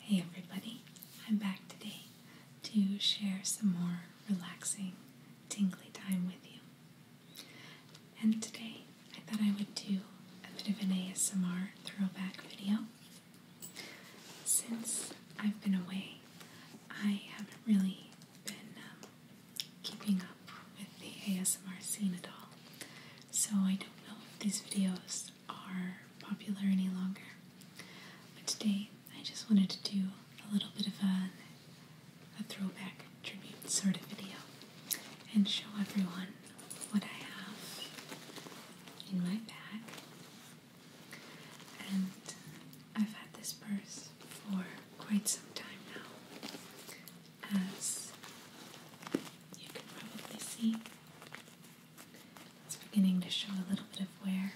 Hey everybody, I'm back today to share some more relaxing, tingly time with you. And today I thought I would do a bit of an ASMR throwback video. Since I've been away, I haven't really been um, keeping up with the ASMR scene at all. So I don't know if these videos are popular any longer. But today I just wanted to do a little bit of a, a throwback tribute sort of video and show everyone what I have in my bag. And I've had this purse for quite some time now as you can probably see. It's beginning to show a little bit of wear.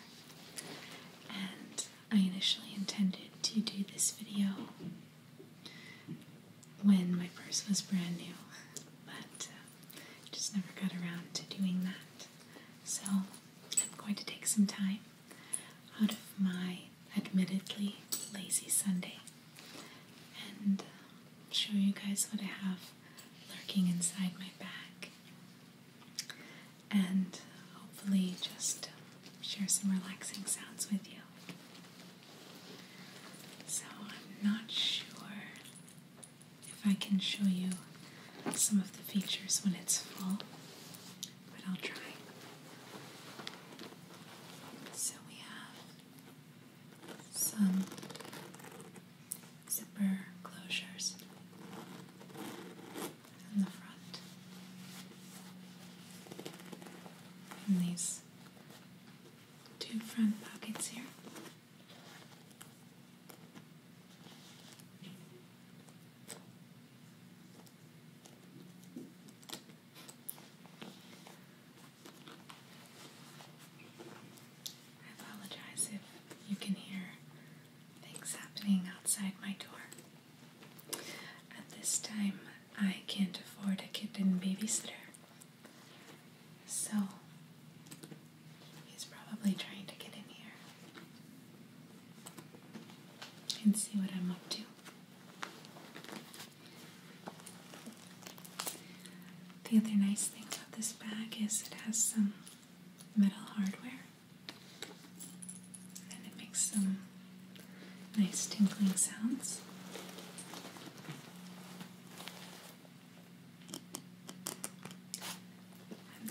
And I initially intended to do this video when my purse was brand new, but uh, just never got around to doing that. So I'm going to take some time out of my admittedly lazy Sunday and um, uh, show you guys what I have lurking inside my bag. And uh, hopefully, just uh, share some relaxing sounds with you. So, I'm not sure if I can show you some of the features when it's full, but I'll try. So, we have some zipper closures in the front. And these two front pockets here. I apologize if you can hear things happening outside my door. At this time, I can't afford a kitten babysitter, so he's probably trying to get in here and see what I'm up to. The other nice thing about this bag is it has some metal hardware and it makes some nice tinkling sounds.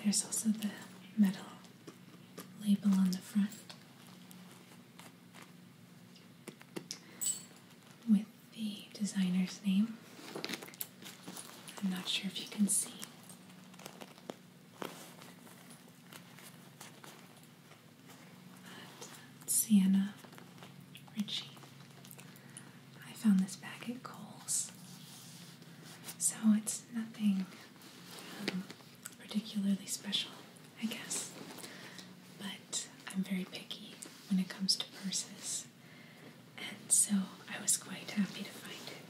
there's also the metal label on the front with the designer's name. I'm not sure if you can see. But Sienna Ritchie. I found this bag at Kohl's. So it's nothing um, particularly special. I guess. But I'm very picky when it comes to purses, and so I was quite happy to find it.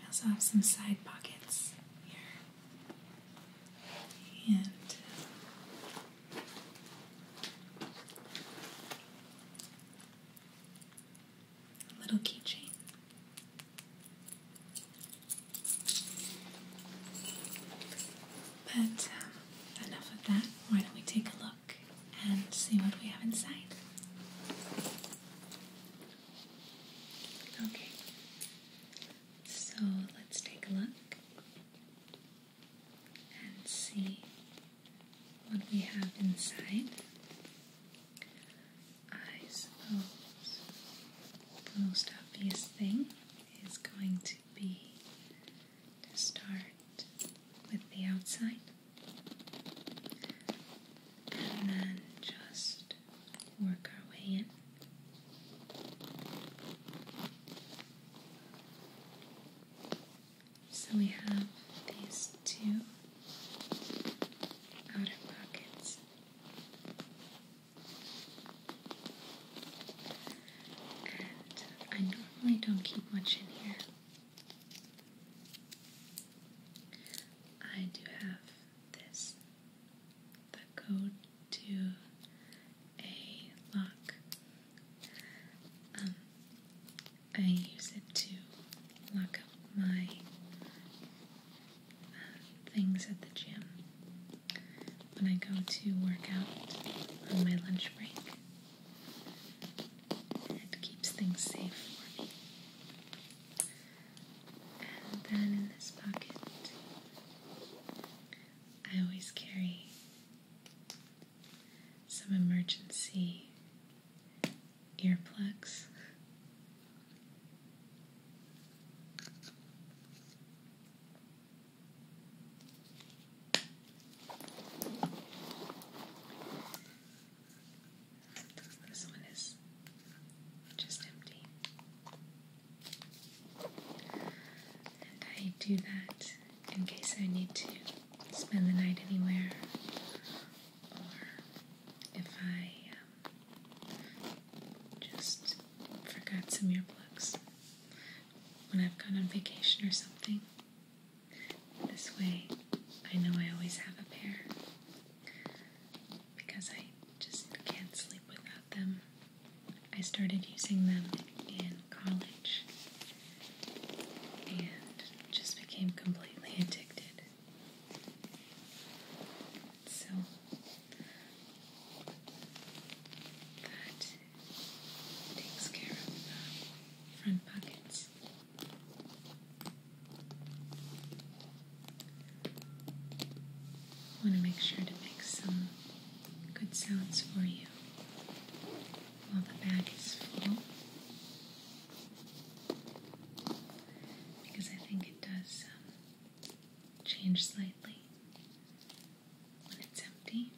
I also have some side pockets here, and uh, a little keychain but um, enough of that. Why don't we take a look and see what we have inside? Okay. So let's take a look and see what we have inside. I oh, the most obvious thing is going to be to start with the outside and then just work our way in. So we have these two outer pockets I normally don't keep much in here. I do have this, the code to a lock. Um, I use it to lock up my things at the gym when I go to work out on my lunch break. It keeps things safe for me. And then in this pocket, I always carry some emergency earplugs this one is just empty. And I do that in case I need to spend the night anywhere or if I uh, just forgot some earplugs when I've gone on vacation or something. This way, I know I always have a pair because I just can't sleep without them. I started using them in college and just became completely addicted. So that takes care of the front pockets. I want to make sure to make some good sounds for you while the bag is full because I think it does um, change slightly when it's empty.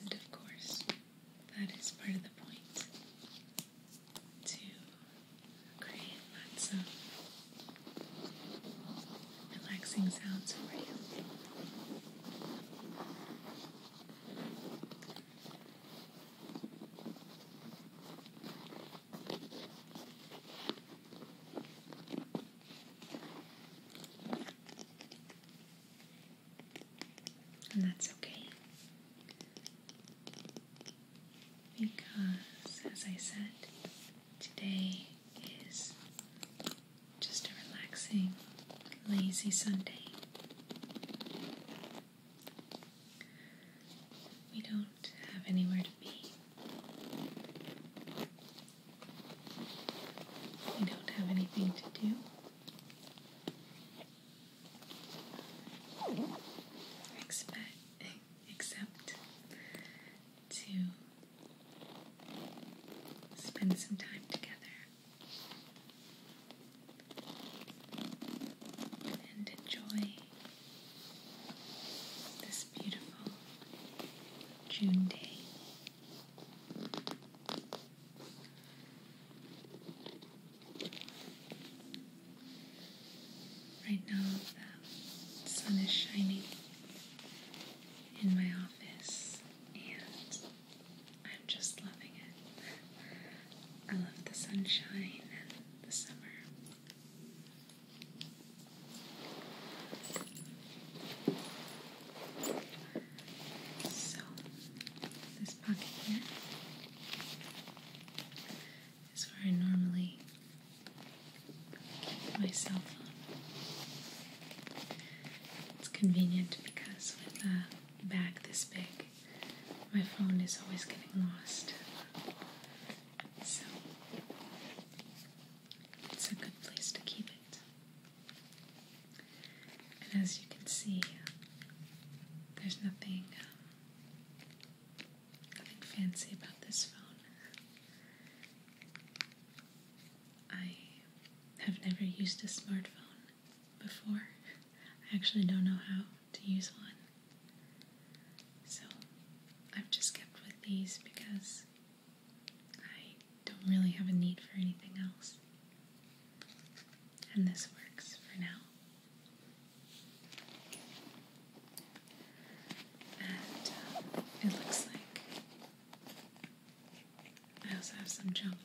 And of course, that is part of the point to create lots of relaxing sounds for you. And that's okay. Because, as I said, today is just a relaxing, lazy Sunday. We don't have anywhere to be. We don't have anything to do. Expect, except to spend some time together and enjoy this beautiful June day. Right now, the sun is shining in my office, and I'm just loving it. I love the sunshine and the summer. So, this pocket here is where I normally keep my cell phone. It's convenient because with a uh, Back this big. My phone is always getting lost. So it's a good place to keep it. And as you can see, there's nothing, um, nothing fancy about this phone. I have never used a smartphone before. I actually don't know how to use one. So I've just kept with these because I don't really have a need for anything else. And this works for now. And uh, it looks like I also have some junk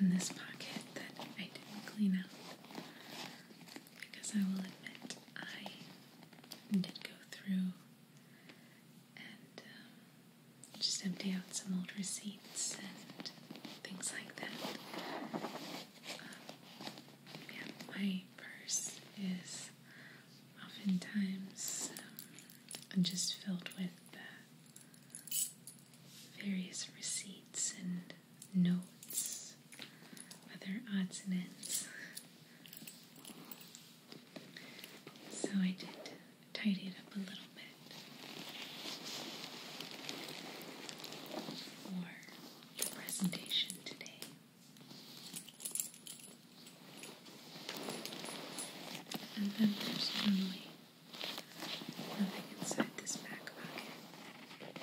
in this pocket that I didn't clean out. Because I will admit, I did go through and um, just empty out some old receipts and things like that. Um, yeah, my purse is oftentimes um, just filled with uh, various receipts and notes, other odds and ends. So I did tidy it up a little bit for the presentation today. And then there's normally Nothing inside this back pocket.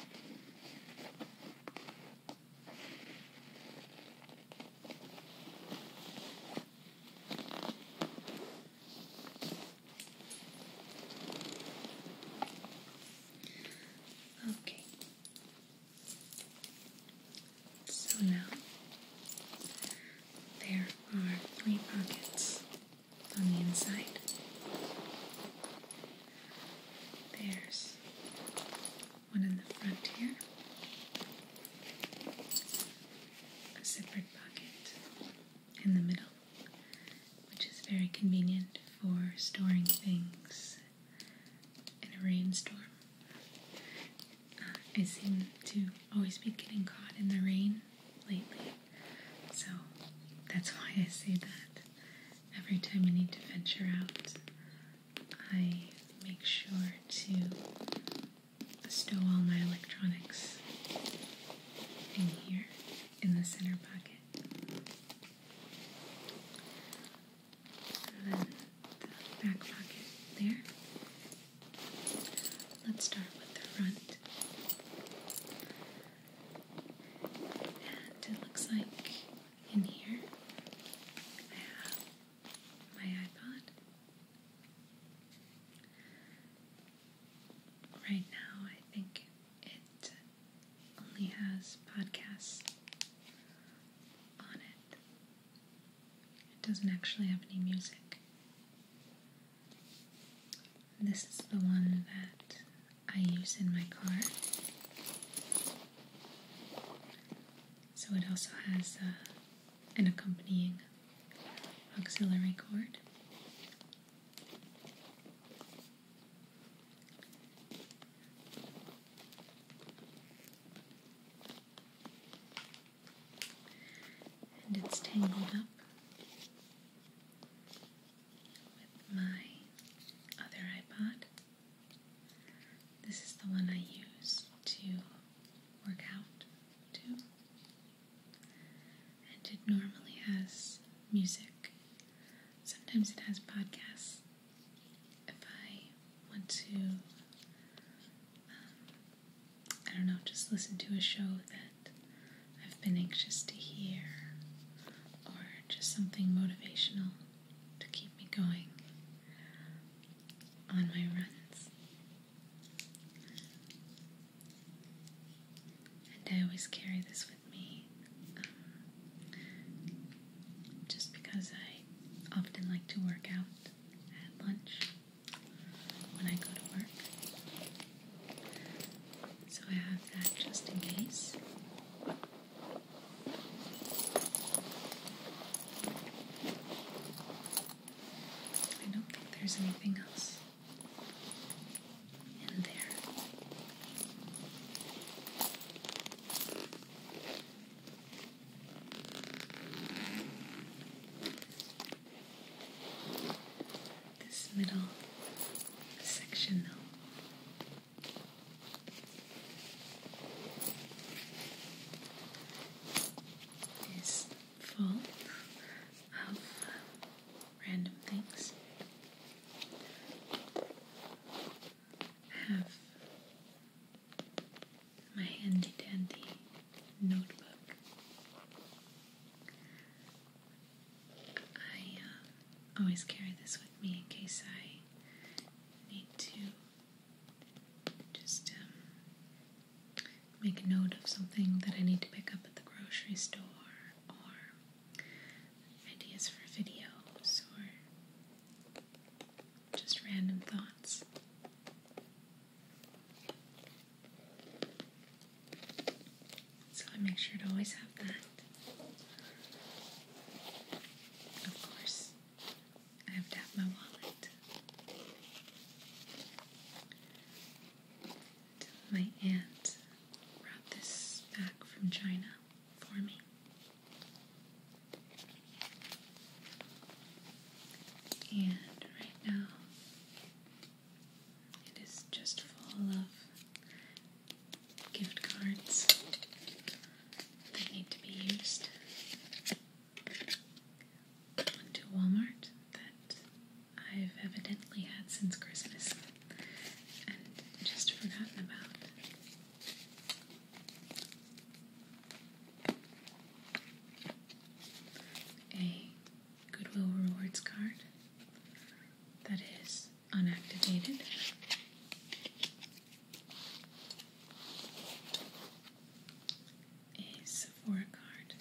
Okay. So now there are three pockets on the inside. There's one in the front here, a separate pocket in the middle, which is very convenient for storing things in a rainstorm. Uh, I seem to always be getting caught in the rain lately. So that's why I say that every time I need to venture out, I make sure to stow all my electronics in here in the center pocket. And then the back pocket there Let's start with the front. And it looks like in here I have my iPod. Right now, I think it only has podcasts on it. It doesn't actually have any music. This is the one that I use in my car. So it also has uh, an accompanying auxiliary cord and it's tangled up with my other iPod. This is the one I use to work out to, and it normally has music. Sometimes it has podcasts. If I want to um, I don't know, just listen to a show that I've been anxious to hear, or just something motivational to keep me going on my runs. And I always carry this with me um, just because I often like to work out at lunch when I go to work. So I have that just in case. I don't think there's anything else in there. This middle section, though. Is full of random things. I have my handy dandy notebook I uh, always carry this with me in case I need to just um, make a note of something that I need to pick up at the grocery store or ideas for videos or just random thoughts. So I make sure to always have that. Of course, I have to have my wallet. My aunt brought this back from China for me. And right now, it is just full of gift cards that need to be used. to Walmart that I've evidently had since Christmas and just forgotten about. A Goodwill Rewards card that is unactivated. A Sephora card.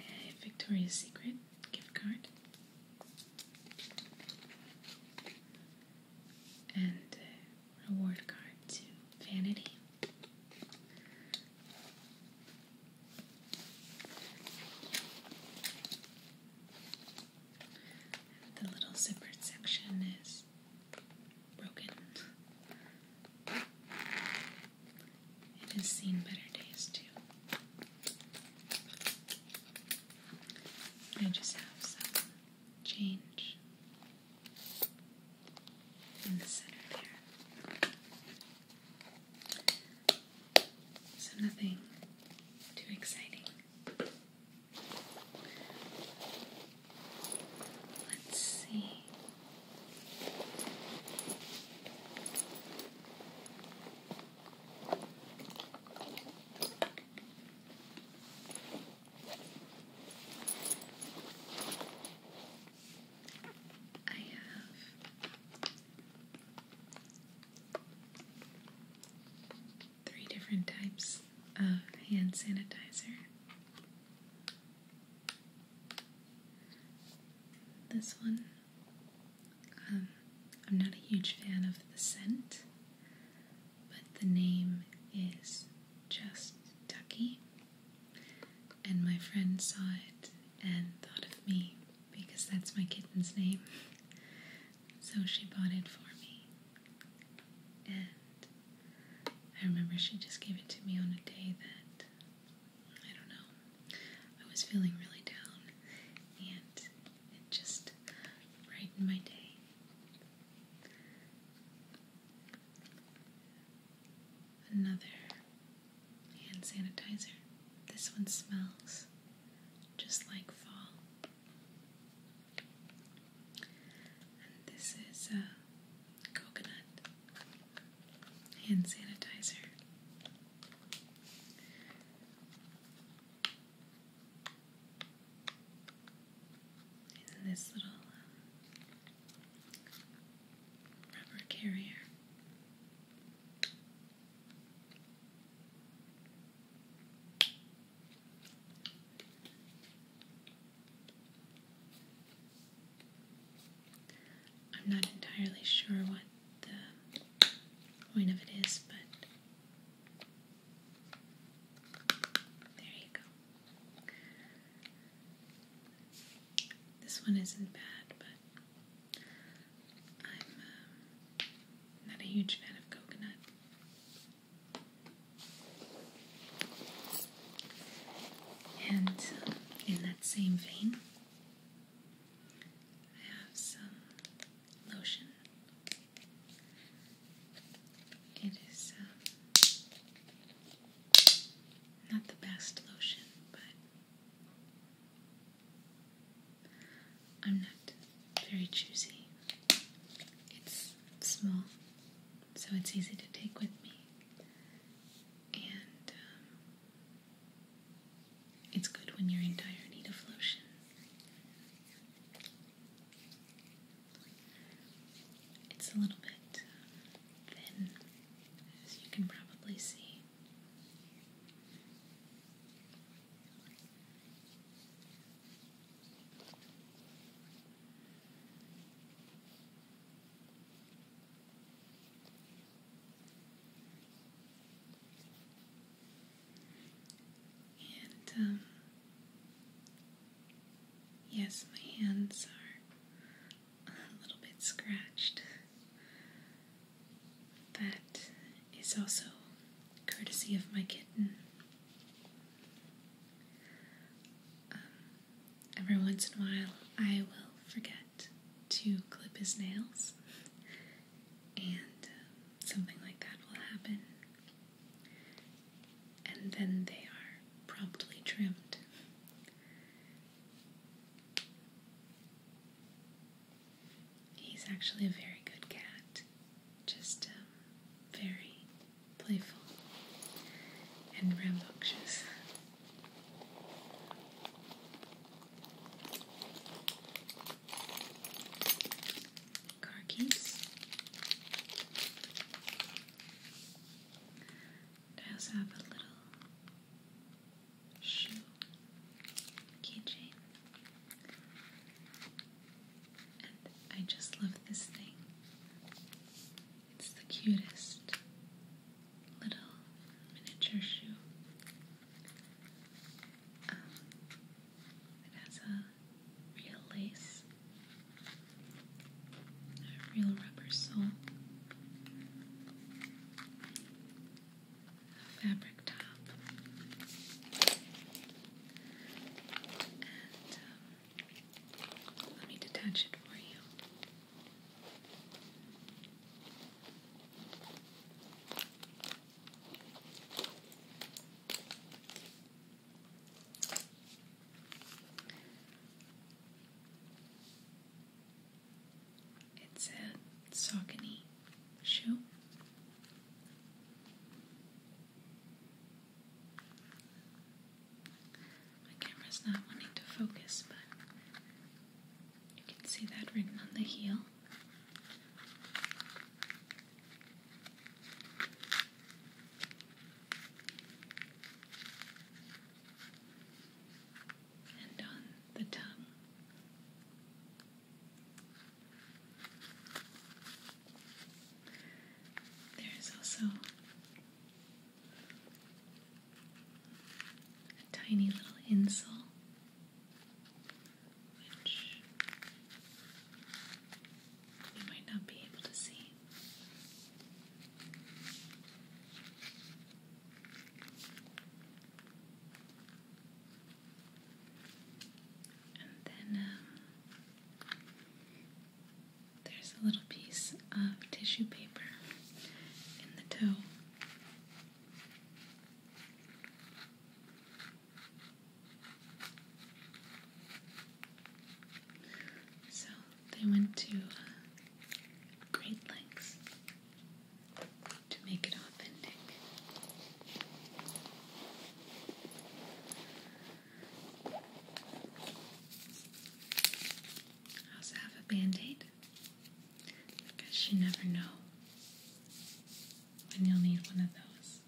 A Victoria's Secret gift card and a uh, reward card to Vanity. the little zippered section is broken. It has seen better days too. I just have some change in the center there. So nothing too exciting. Let's see. I have three different types of hand sanitizer. This one um, I'm not a huge fan of the scent, but the name is just Ducky. And my friend saw it and thought of me because that's my kitten's name. So she bought it for me. And I remember she just gave it to me on a day that I don't know. I was feeling really down and and just brighten my day. Another hand sanitizer. This one smells just like fall. And this is a coconut hand sanitizer in this little um, rubber carrier. I'm not entirely sure what the point of it is, but there you go. This one isn't bad, but I'm um, not a huge fan of coconut. And um, in that same vein, I have some lotion. It is uh, not the best lotion, but I'm not very choosy. It's small, so it's easy to take with me. And um, it's good when you're in dire need of lotion. It's a little bit thin, as you can probably see. And, um, yes, my hands are a little bit scratched. That is also courtesy of my kitten. Um, every once in a while, I will forget to clip his nails, and um, something like that will happen. And then they are promptly trimmed. He's actually a very good cat, just um, very playful and rambunctious car keys. I also have a little shoe keychain. And I just love this thing. It's the cutest little miniature shoe. Um, it has a real lace, a real rubber sole, a fabric top, and um, let me detach it for you. It's a Saucony shoe. My camera's not wanting to focus, but you can see that written on the heel and on the tongue. There is also a tiny little insul which you might not be able to see. And then um, there's a little piece of tissue paper in the toe. So they went to uh, great lengths to make it authentic. I also have a band aid because you never know when you'll need one of those.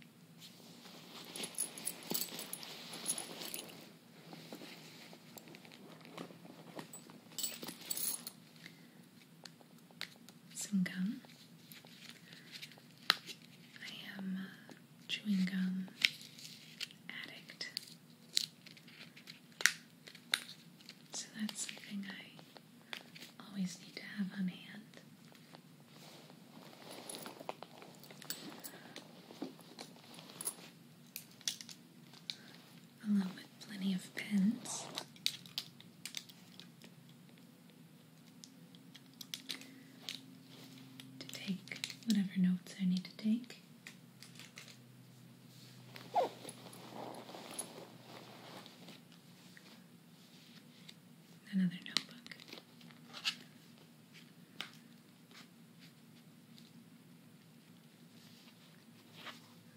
Some gum. I am uh, chewing gum addict. So that's something I always need to have on hand. Along with plenty of pens. To take whatever notes I need to take. Another notebook.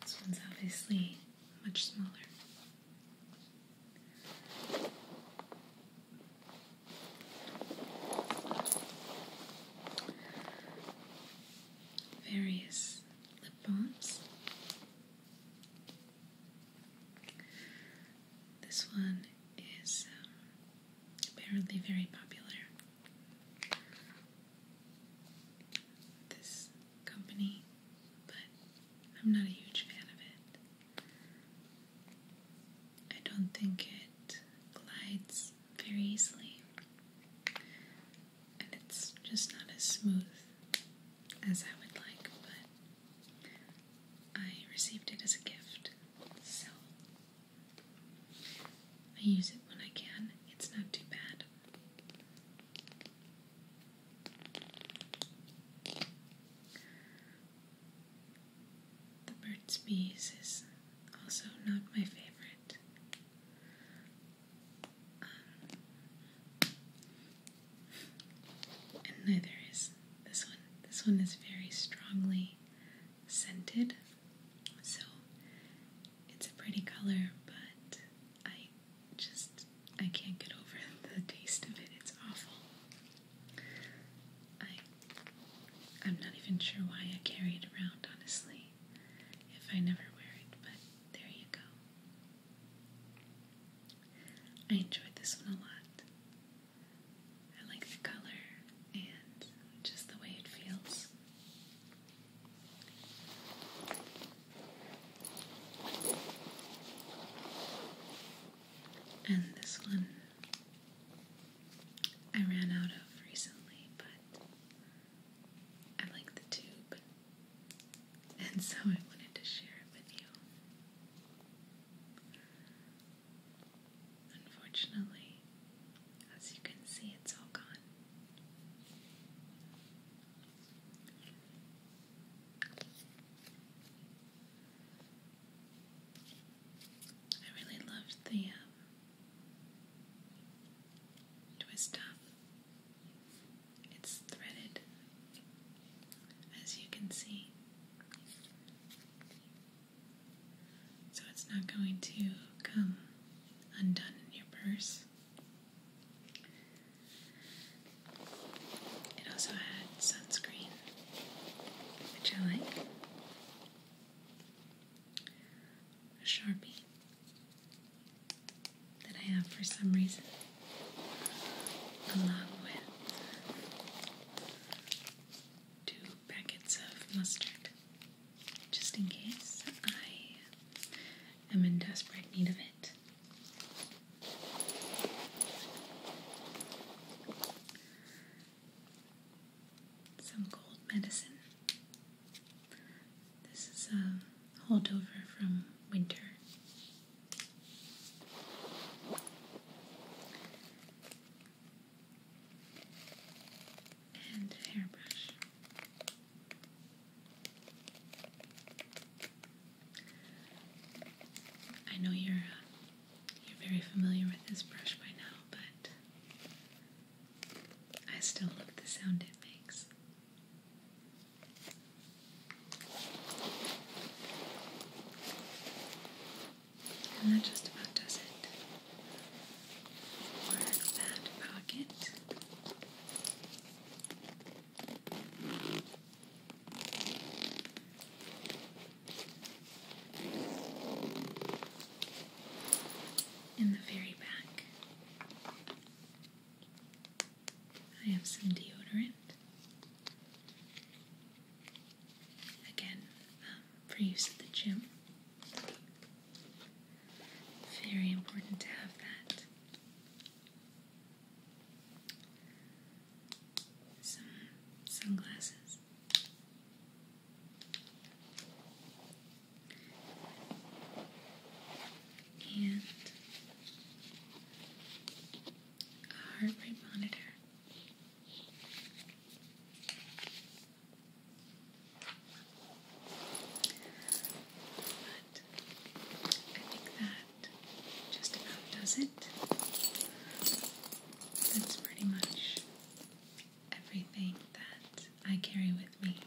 This one's obviously much smaller. Various lip balms. This one is um, apparently very popular. This company, but I'm not a huge fan of it. I don't think it glides very easily, and it's just not as smooth as I would like, but I received it as a gift, so I use it when I can. It's not too bad. The birds, Bees is also not my favorite. Um, and neither this one. This one is very strongly scented, so it's a pretty color, but I just I can't get over the taste of it. It's awful. I I'm not even sure why I carry it around, honestly. If I never wear it, but there you go. I enjoyed this one a lot. I like the color and just the way it feels. And this one I ran out of recently, but I like the tube and so I wanted to share it with you. Unfortunately, as you can see, it's all gone. I really loved the um, twist up it's threaded, as you can see. So it's not going to come undone in your purse. It also had sunscreen, which I like, a sharpie that I have for some reason along with two packets of mustard, just in case I am in desperate need of it. Some cold medicine. This is a holdover from winter and hairbrush. I know you're uh, you're very familiar with this brush by now, but I still love the sound it makes. And that just about does it for that pocket. In the very back, I have some deodorant. Again, um, for use at the gym. Very important to have that. Some sunglasses. And a heart rate monitor. But I think that just about does it. That's pretty much everything that I carry with me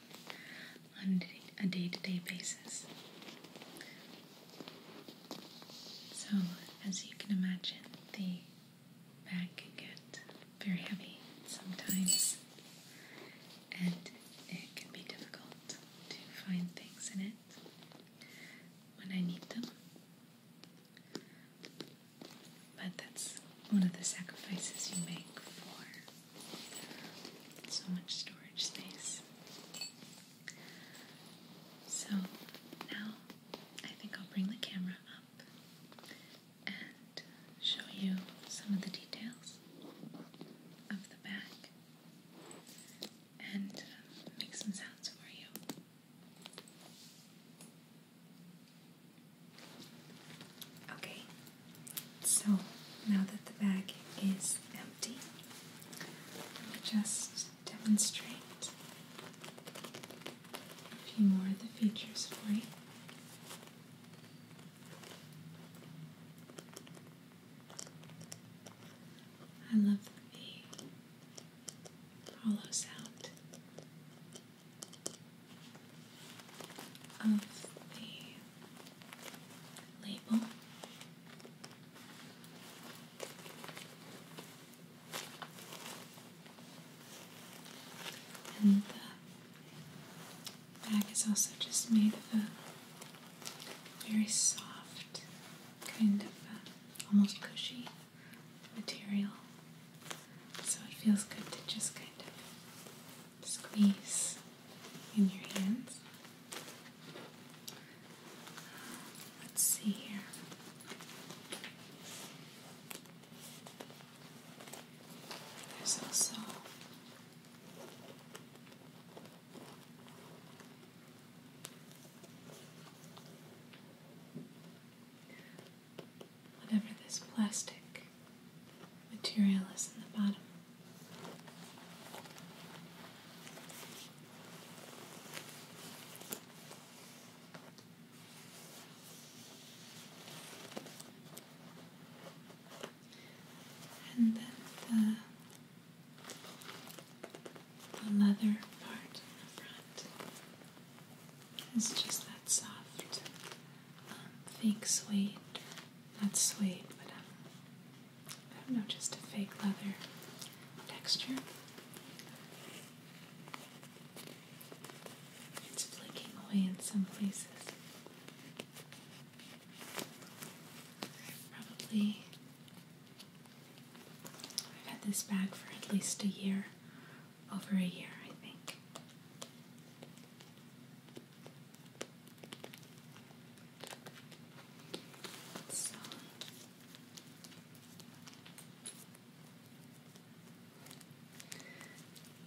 on a day to day basis. So, as you can imagine, the bag can get very heavy sometimes, and it can be difficult to find things in it when I need them. But that's one of the sacrifices you make for so much storage space. So now I think I'll bring the camera up and show you some of the details of the back and uh, make some sounds for you. Okay, so now that the bag is empty, just demonstrate a few more of the features for you. I love the hollow sound of the label and the bag is also just made of a very soft, kind of uh, almost cushy material. So it feels good to just kind of squeeze in your hands. Let's see here. There's also whatever this plastic material is in the bottom. And then the, the leather part in the front is just that soft um, fake suede, not suede, but um, i don't know, just a fake leather texture. It's flaking away in some places. probably I've had this bag for at least a year, over a year, I think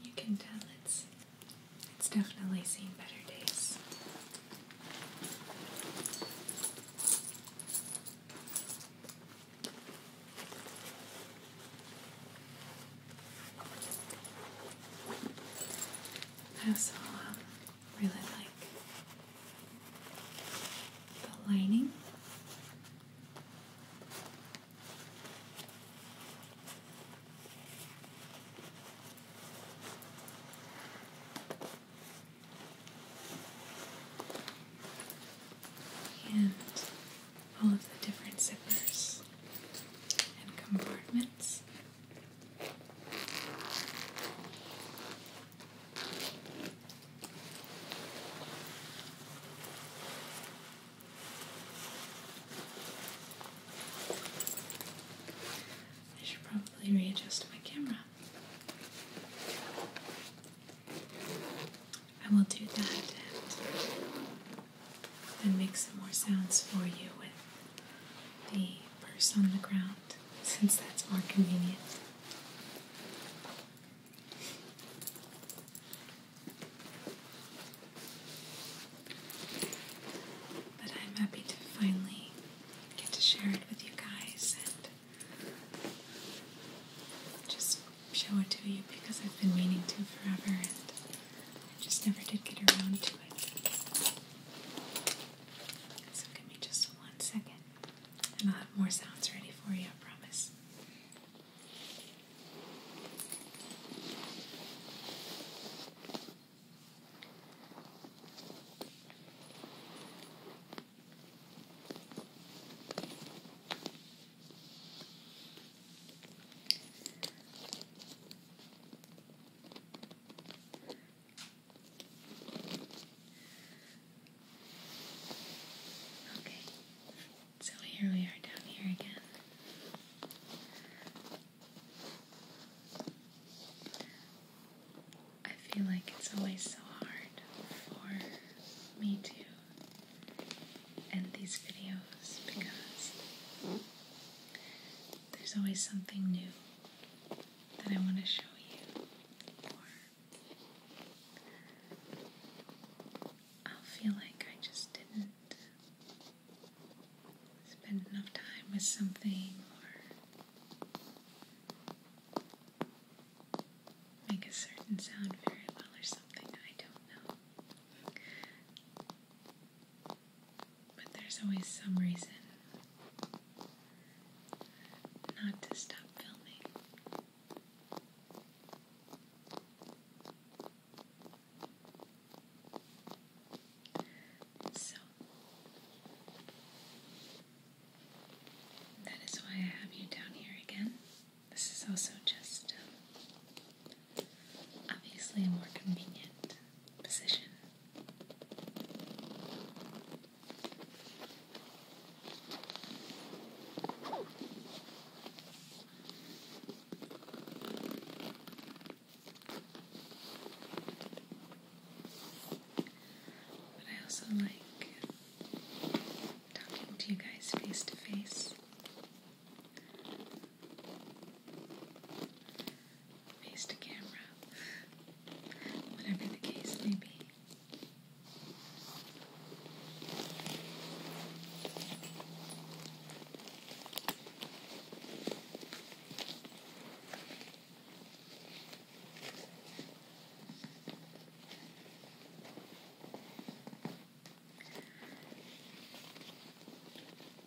you can tell it's it's definitely seen better days. I also really like the lining. And all of the different zippers and compartments. I should probably readjust my camera. I will do that and, and make some more sounds for you with the purse on the ground since that's more convenient. But I'm happy to finally get to share it with you guys and just show it to you because I've been meaning to forever and just never did get around to it. So give me just one second. And I'll have more sounds ready for you, I promise. Okay, so here we are down here again. I feel like it's always so hard for me to end these videos because there's always something new that I want to show you, i feel like I just didn't spend enough time with something, or make a certain sound very well, or something. I don't know. But there's always some reason not to stop filming. So that is why I have you down here again. This is also just um, obviously a more convenient position. But I also like talking to you guys face to face face to camera, whatever the case may be.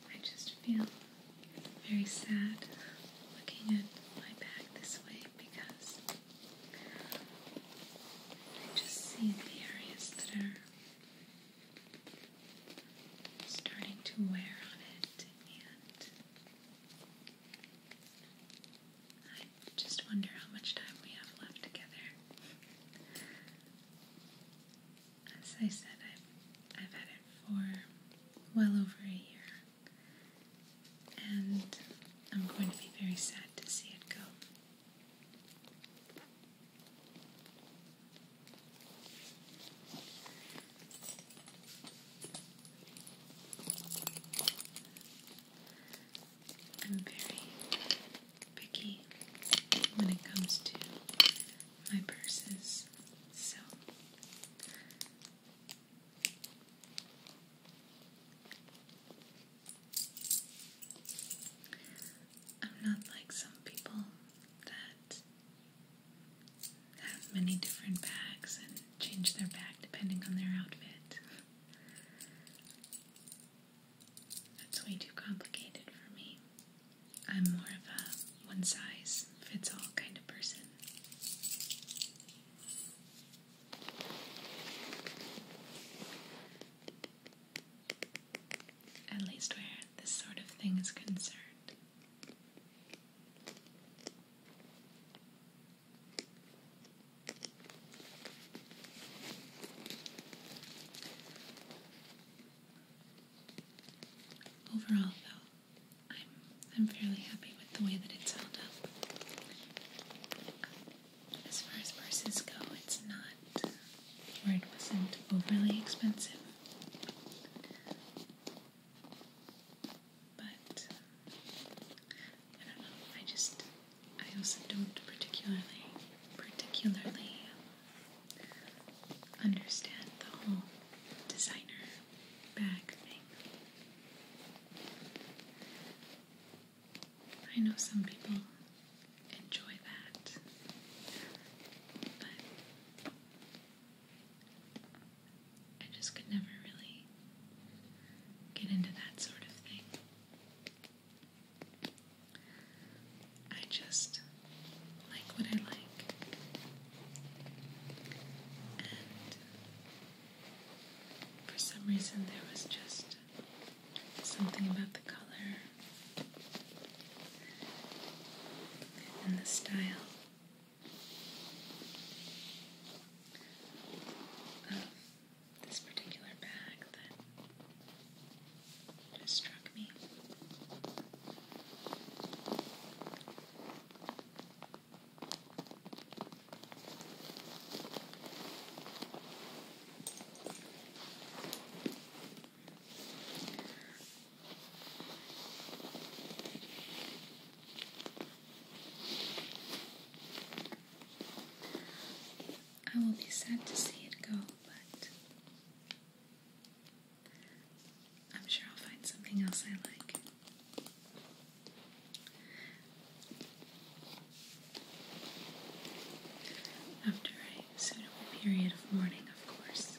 I just feel very sad looking at my bag this way because I just see the areas that are starting to wear on it and I just wonder how much time we have left together. As I said, I've, had it for well over a year and I'm going to be very sad to see it go. I'm very picky when it comes to my purses, so I'm not like some people that have many different bags and change their bag depending on their outfit. That's way too complicated for me. I'm more of a one size fits all kind of person. At least where this sort of thing is concerned. Overall, though, I'm I'm fairly happy with the way that it's held up. As far as purses go, it's not or it wasn't overly expensive. But I don't know. I just I also don't particularly particularly understand the whole designer bag thing. I know some people enjoy that, but I just could never really get into that sort of thing. I just like what I like. For some reason, there was just something about the color and the style of this particular bag that just struck me. I will be sad to see it go, but I'm sure I'll find something else I like. After a suitable period of mourning, of course.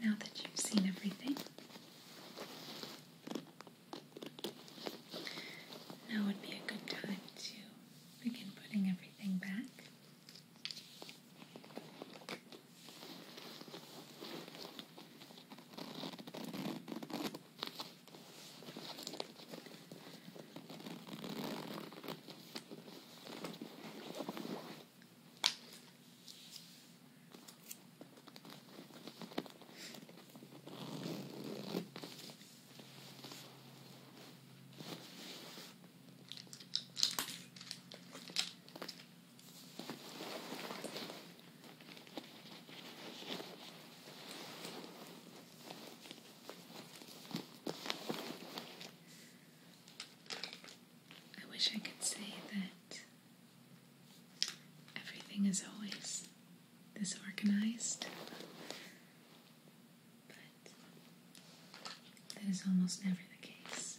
Now that you've seen everything, now would be a good time to begin putting everything back. I wish I could say that everything is always disorganized. But that is almost never the case.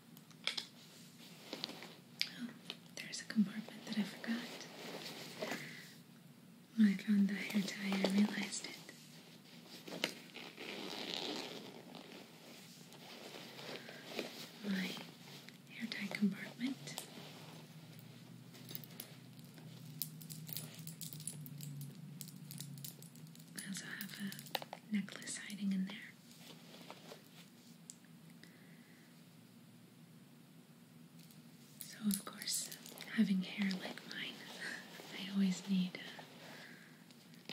Oh, there's a compartment that I forgot. When I found the hair tie, I realized it. My hair tie compartment. I also have a necklace hiding in there. So, of course, having hair like mine, I always need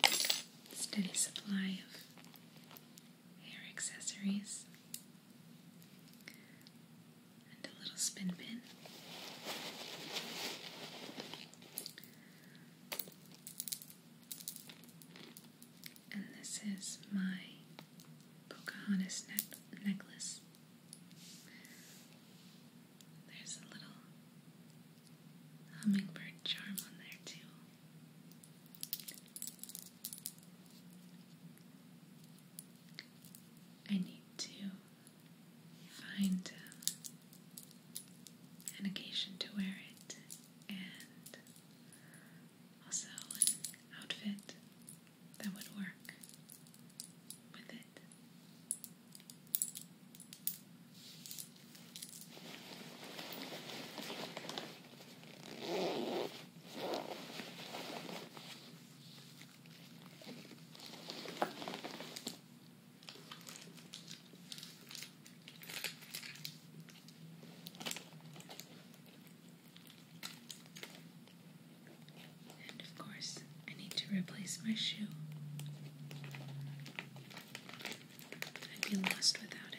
a steady supply of hair accessories and a little spin pin. And this is my Pocahontas necklace. There's a little hummingbird charm on there, too. I need to find um, an occasion to wear it and also an outfit that would work with it of course, I need to replace my shoe. I'd be lost without it.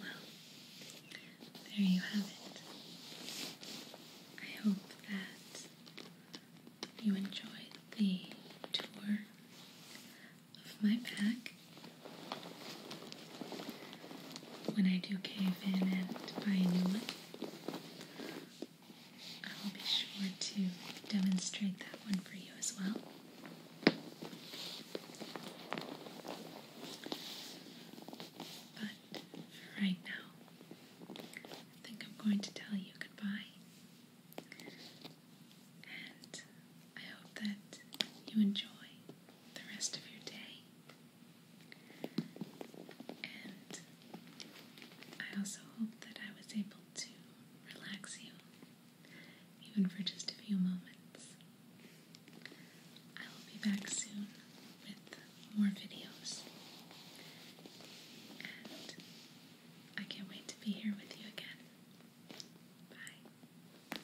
Well, there you have it. I hope that you enjoyed the tour of my pack. When I do cave in and buy a new one, I will be sure to demonstrate that one for you as well. But right now, I think I'm going to tell you goodbye. And I hope that you enjoy the rest of your day and I also hope that I was able to relax you, even for just a few moments. I will be back soon with more videos. And I can't wait to be here with you again. Bye.